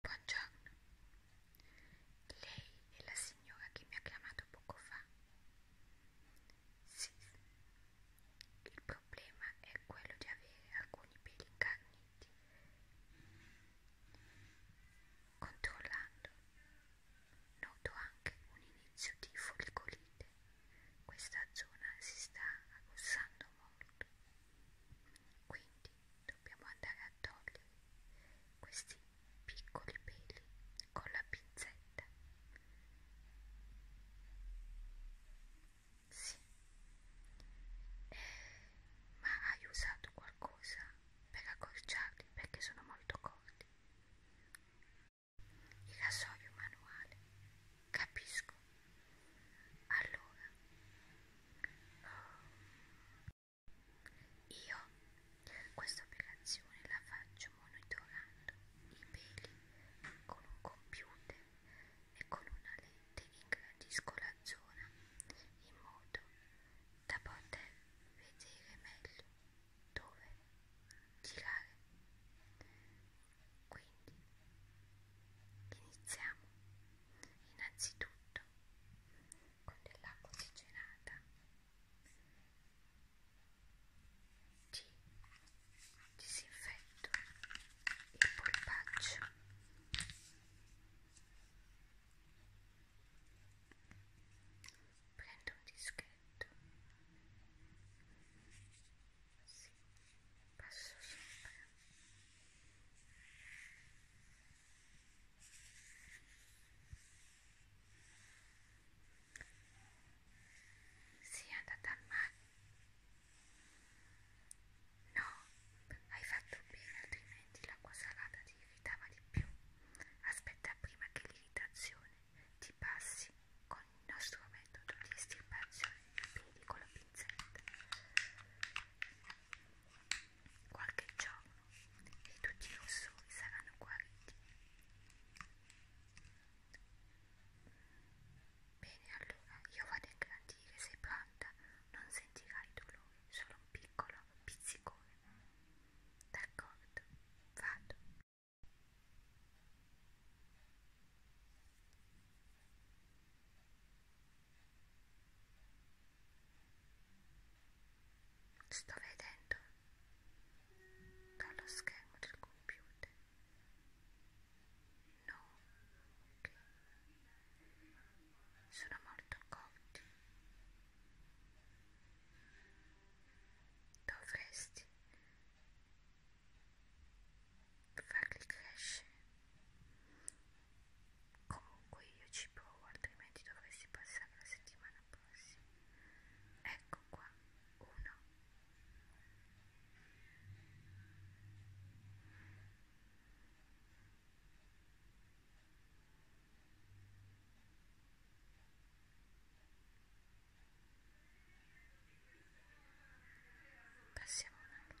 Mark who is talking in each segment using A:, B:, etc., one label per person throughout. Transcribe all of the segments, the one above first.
A: Buongiorno. Lei è la signora che mi ha chiamato poco fa? Sì. Il problema è quello di avere alcuni peli incarniti. Controllando, noto anche un inizio di folicolite. Questa zona si sta arrossando molto. Quindi dobbiamo andare a togliere questi piccoli peli con la pinzetta. Sì. Eh, ma hai usato qualcosa per accorciarli perché sono molto corti? Il rasoio manuale, capisco. Allora, io questa operazione la faccio monitorando i peli con un computer e con una lente ingrandisco la zona in modo da poter vedere meglio dove girare. Quindi iniziamo. Innanzitutto con dell'acqua ossigenata. G. Disinfetto il polpaccio. Prendo un dischetto. Sì, passo sopra sei andata al mare? No, hai fatto bene, altrimenti l'acqua salata ti irritava di più. Aspetta prima che l'irritazione ti passi con il nostro metodo di estirpazione dei piedi con la pinzetta. Qualche giorno e tutti i rossori saranno guariti. Bene, allora io vado a garantire sei pronta, non sentirai dolore, solo un piccolo pizzicone. D'accordo, vado. Sto vedendo dallo schermo del computer. No, okay. sono molto cotti. Dovresti farli crescere comunque io ci provo altrimenti dovresti passare la settimana prossima ecco qua uno Passiamo un altro.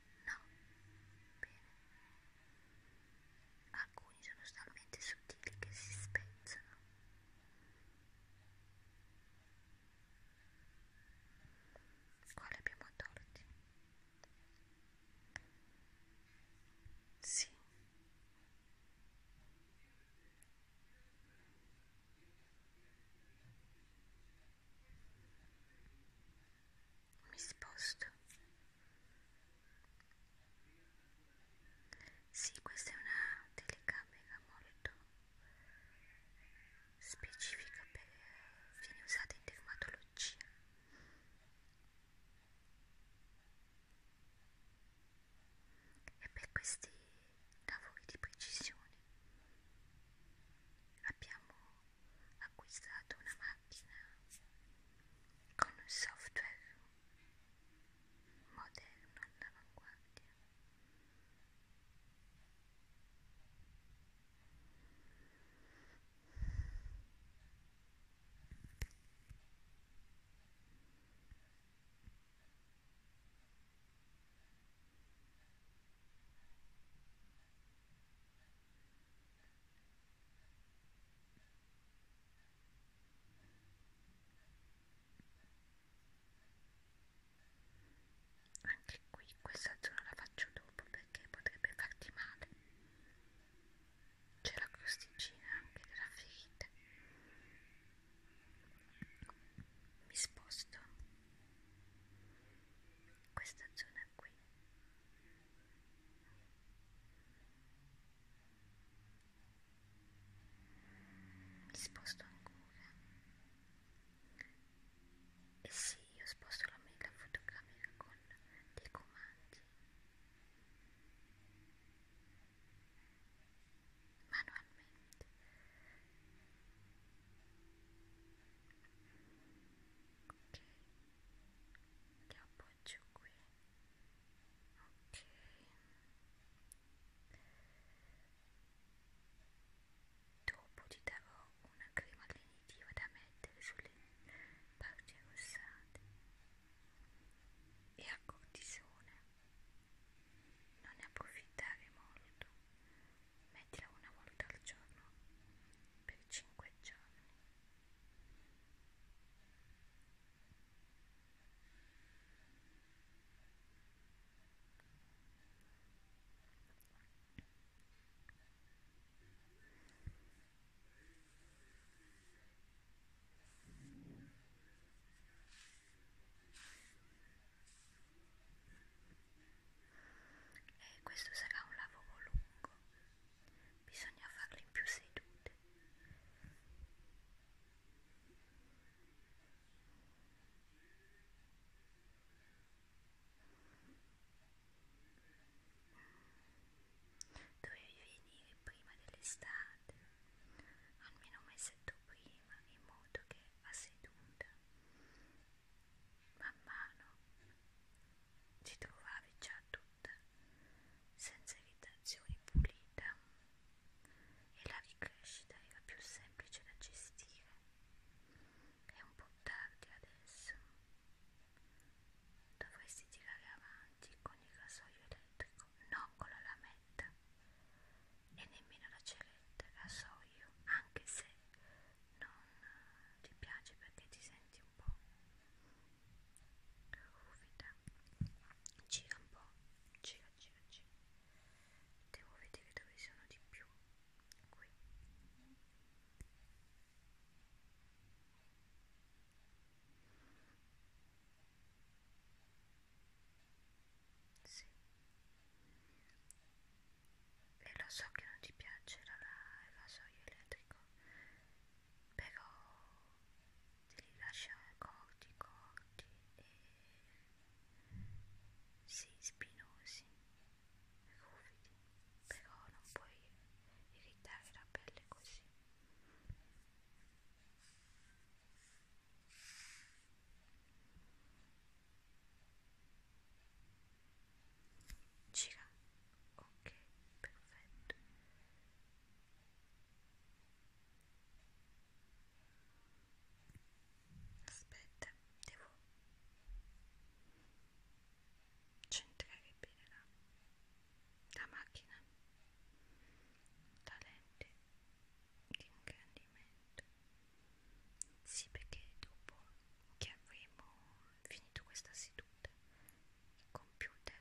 A: No, bene. Alcuni sono talmente sottili che si spezzano. Quale abbiamo tolti? Sì mi sposto sì questa è una telecamera molto specifica per viene usata in dermatologia e per questi lavori di precisione abbiamo acquistato una macchina con un software moderno all'avanguardia anche qui questa zona la faccio dopo perché potrebbe farti male. C'è la crosticina anche della ferita. Mi sposto questa zona qui mi sposto ancora e eh sì io sposto la mela fotografica con dei comandi manualmente ok li appoggio qui ok dopo ti darò una crema definitiva da mettere sulle parti arrossate e a cortisone non ne approfittare molto mettila una volta al giorno per 5 giorni e questo sarà un lavoro lungo bisogna farlo in più sedute mm. dovevi venire prima dell'estate almeno un mesetto prima in modo che a seduta Man mano ti trovavi già tutta, senza irritazioni, pulita e la ricrescita era più semplice da gestire. È un po' tardi adesso. Dovresti tirare avanti con il rasoio elettrico, non con la lametta e nemmeno la celetta la so io, anche se non eh, ti piace perché ti senti un po' ruvida. Gira un po', gira, gira, gira. Devo vedere dove sono di più. Qui. Sì. E lo so che non ti piacerà l'evasoio elettrico, però devi lasciare corti, corti e sì, spinosi, ruvidi, però non puoi irritare la pelle così. Gira. Ok, perfetto. Aspetta, devo centrare bene la, la macchina. La lente di ingrandimento sì perché dopo che avremo finito questa seduta il computer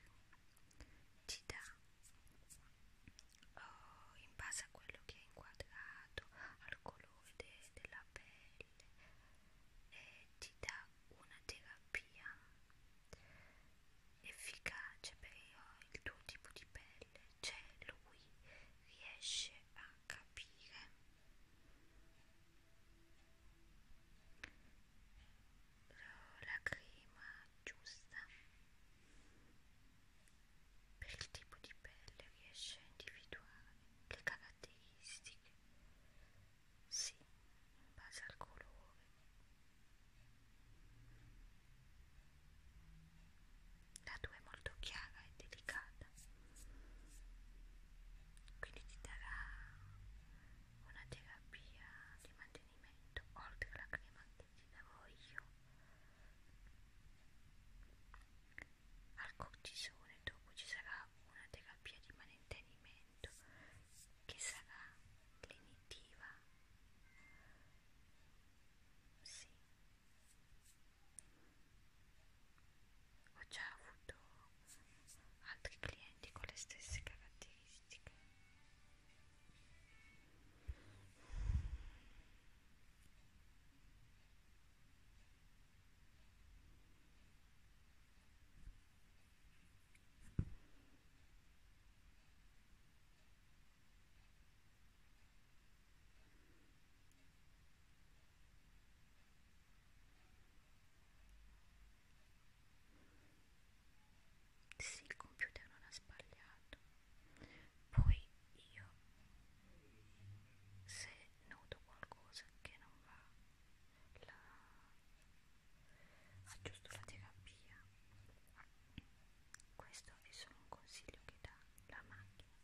A: ti dà oh, in base a quello che hai inquadrato al colore de della pelle e eh, ti dà una terapia efficace per eh, il tuo tipo di pelle cioè lui riesce a capire la crema giusta per il tipo di pelle riesce a individuare le caratteristiche sì in base al colore la tua è molto chiara e delicata, quindi ti darà una terapia di mantenimento oltre alla crema che ti darò io al cortisone. Dopo ci sarà una terapia di mantenimento che sarà lenitiva. Sì, ho già avuto altri clienti con le stesse caratteristiche sì, il computer non ha sbagliato. Poi io, se noto qualcosa che non va, la aggiusto la terapia. Questo questo è solo un consiglio che dà la macchina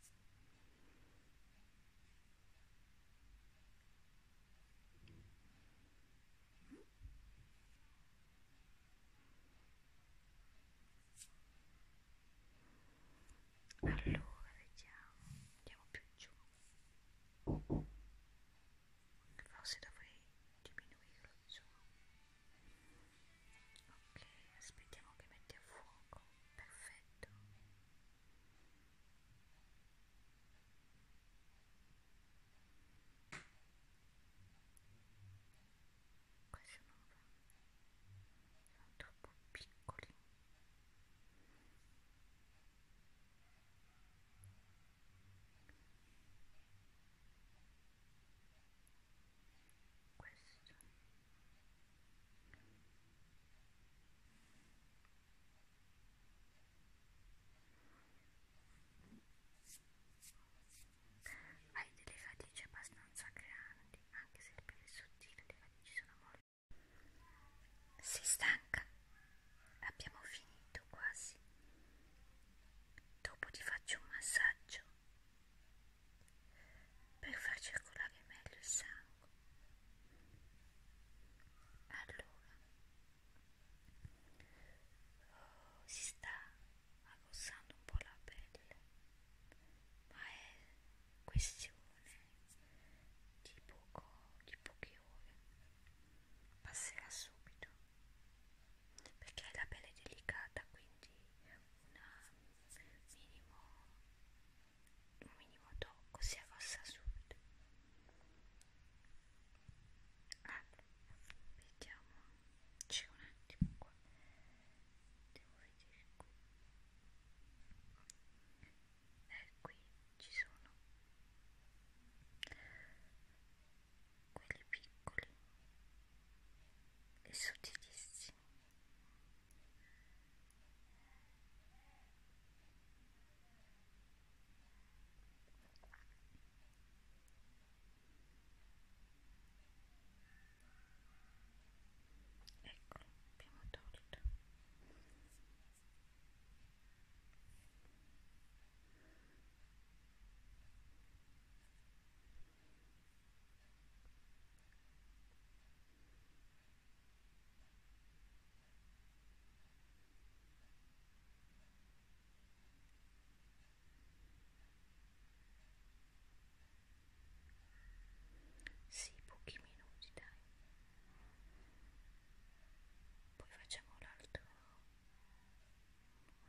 A: allora vediamo andiamo più giù forse dovrei diminuirlo il zoom ok aspettiamo che metti a fuoco perfetto questi non va sono troppo piccoli ok questo hai delle radici abbastanza grandi anche se il pelo è sottile le radici sono molto si stanca abbiamo finito quasi dopo ti faccio un massaggio per far circolare meglio il sangue. Allora, oh, si sta arrossando un po' la pelle, ma è questione di, poco, di poche ore, passerà subito perché è la pelle delicata quindi una minimo un minimo tocco si affossa subito ah, vediamo c'è un attimo qua devo vedere qui eh, qui ci sono quelli piccoli e sottilissimi ecco abbiamo tolto sì, pochi minuti, dai. Poi facciamo l'altro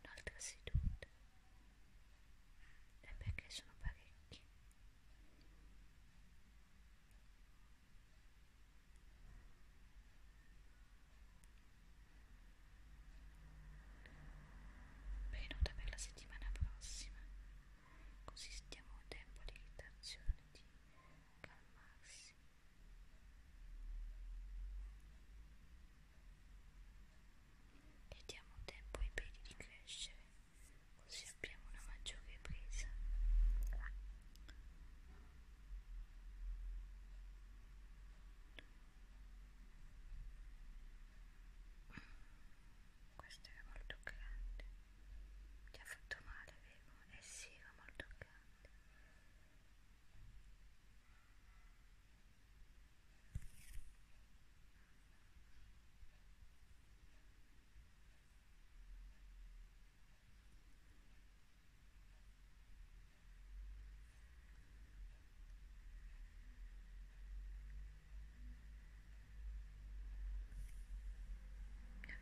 A: un'altra seduta e perché sono parecchi venuta per la settimana prossima così stiamo un tempo di irritazione di calmarsi e diamo tempo ai peli di crescere così abbiamo una maggiore presa questo era molto grande ti ha fatto male vero? eh sì era molto grande mi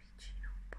A: avvicino un po'.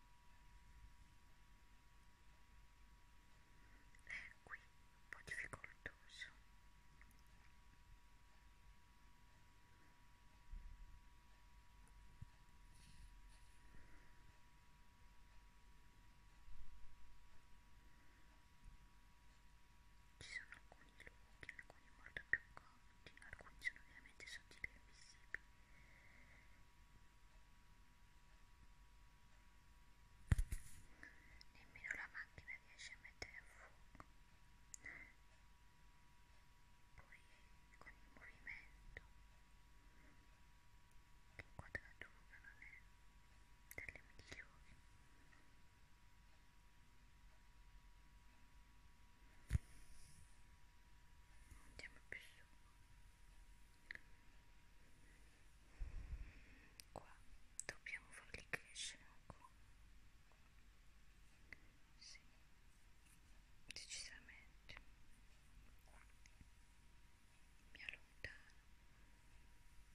A: è qui un po' difficoltoso ci sono alcuni lunghi, alcuni molto più corti alcuni sono ovviamente sottili e visibili nemmeno la macchina riesce a mettere a fuoco poi con il movimento che inquadratura non è delle migliori andiamo più su qua dobbiamo farli crescere ancora sì decisamente mi allontano guarda troppo comodi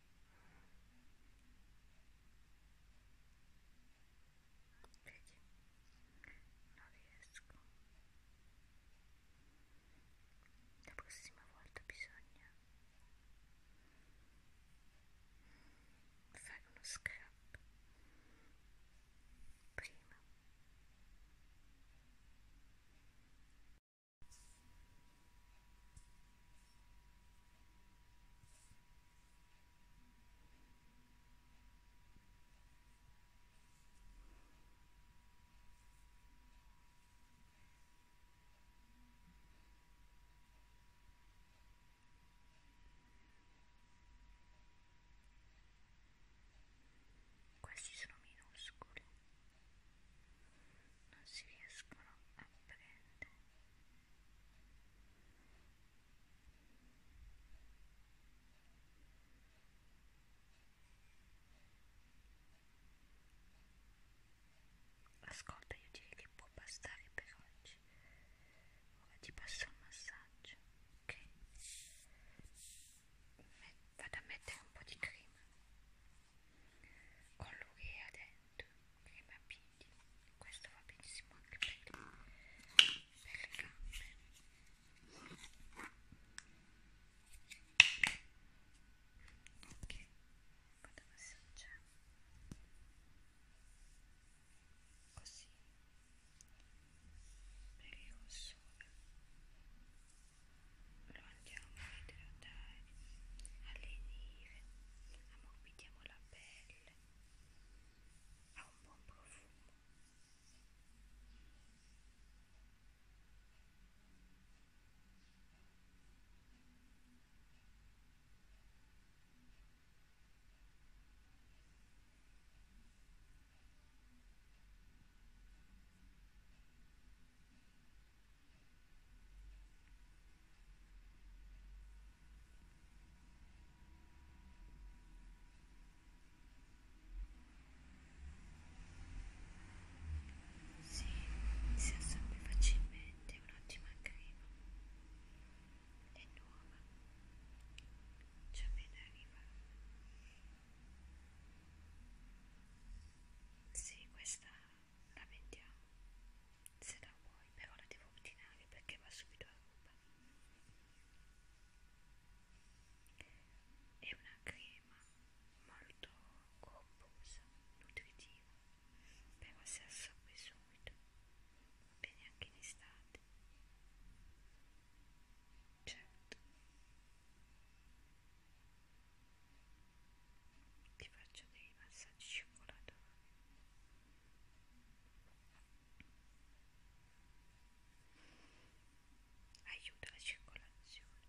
A: Vedi? Non riesco. La prossima volta bisogna fare uno scrap prima questi sono minuscoli non si riescono a prendere ascolta io direi che può bastare per oggi ora ti passo il massaggio ok Met vado a mettere un po' di crema con lui e dentro crema a piedi questo va benissimo anche per, per le gambe ok vado a massaggiare così perché il sole lo andiamo a idratare, allenire, ammorbidiamo la pelle, ha un buon profumo. Ora sì, si assorbe facilmente, è un'ottima crema, è nuova, c'è appena arrivata. Sì, questa la vendiamo se la vuoi però la devo ordinare perché va subito a ruba è una crema molto corposa nutritiva però si assorbe subito va bene anche in estate certo ti faccio dei massaggi cioccolatati aiuta la circolazione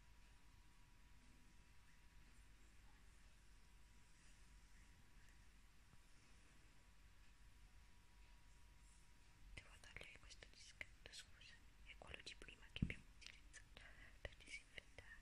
A: devo togliere questo dischetto scusa è quello di prima che abbiamo utilizzato per disinfettare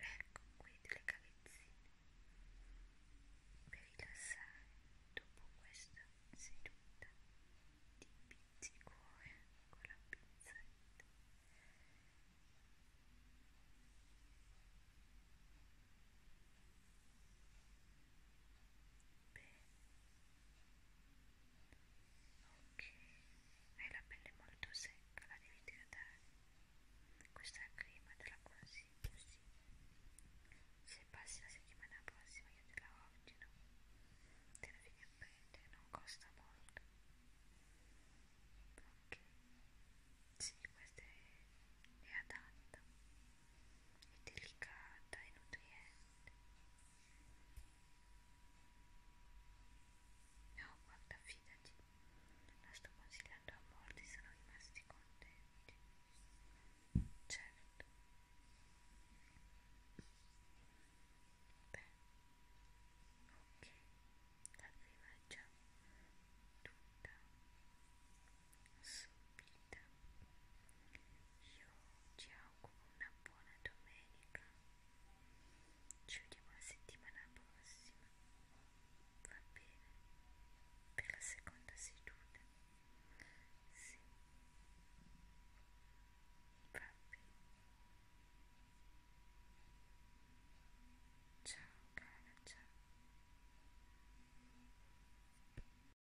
A: Ecco qui delle cavezzine per rilassare. Dopo questa seduta di pizzicore con la pinzetta ok hai la pelle molto secca la devi idratare questa crema te la consiglio sì se passi la settimana prossima io te la ordino te la vieni a prendere non costa molto ok sì questa è, è adatta delicata e nutriente no guarda fidati la sto consigliando a molti sono rimasti contenti certo beh ok la prima è già tutta subita io ti auguro una buona domenica ci vediamo la settimana prossima va bene per la seconda seduta sì va bene ciao cara ciao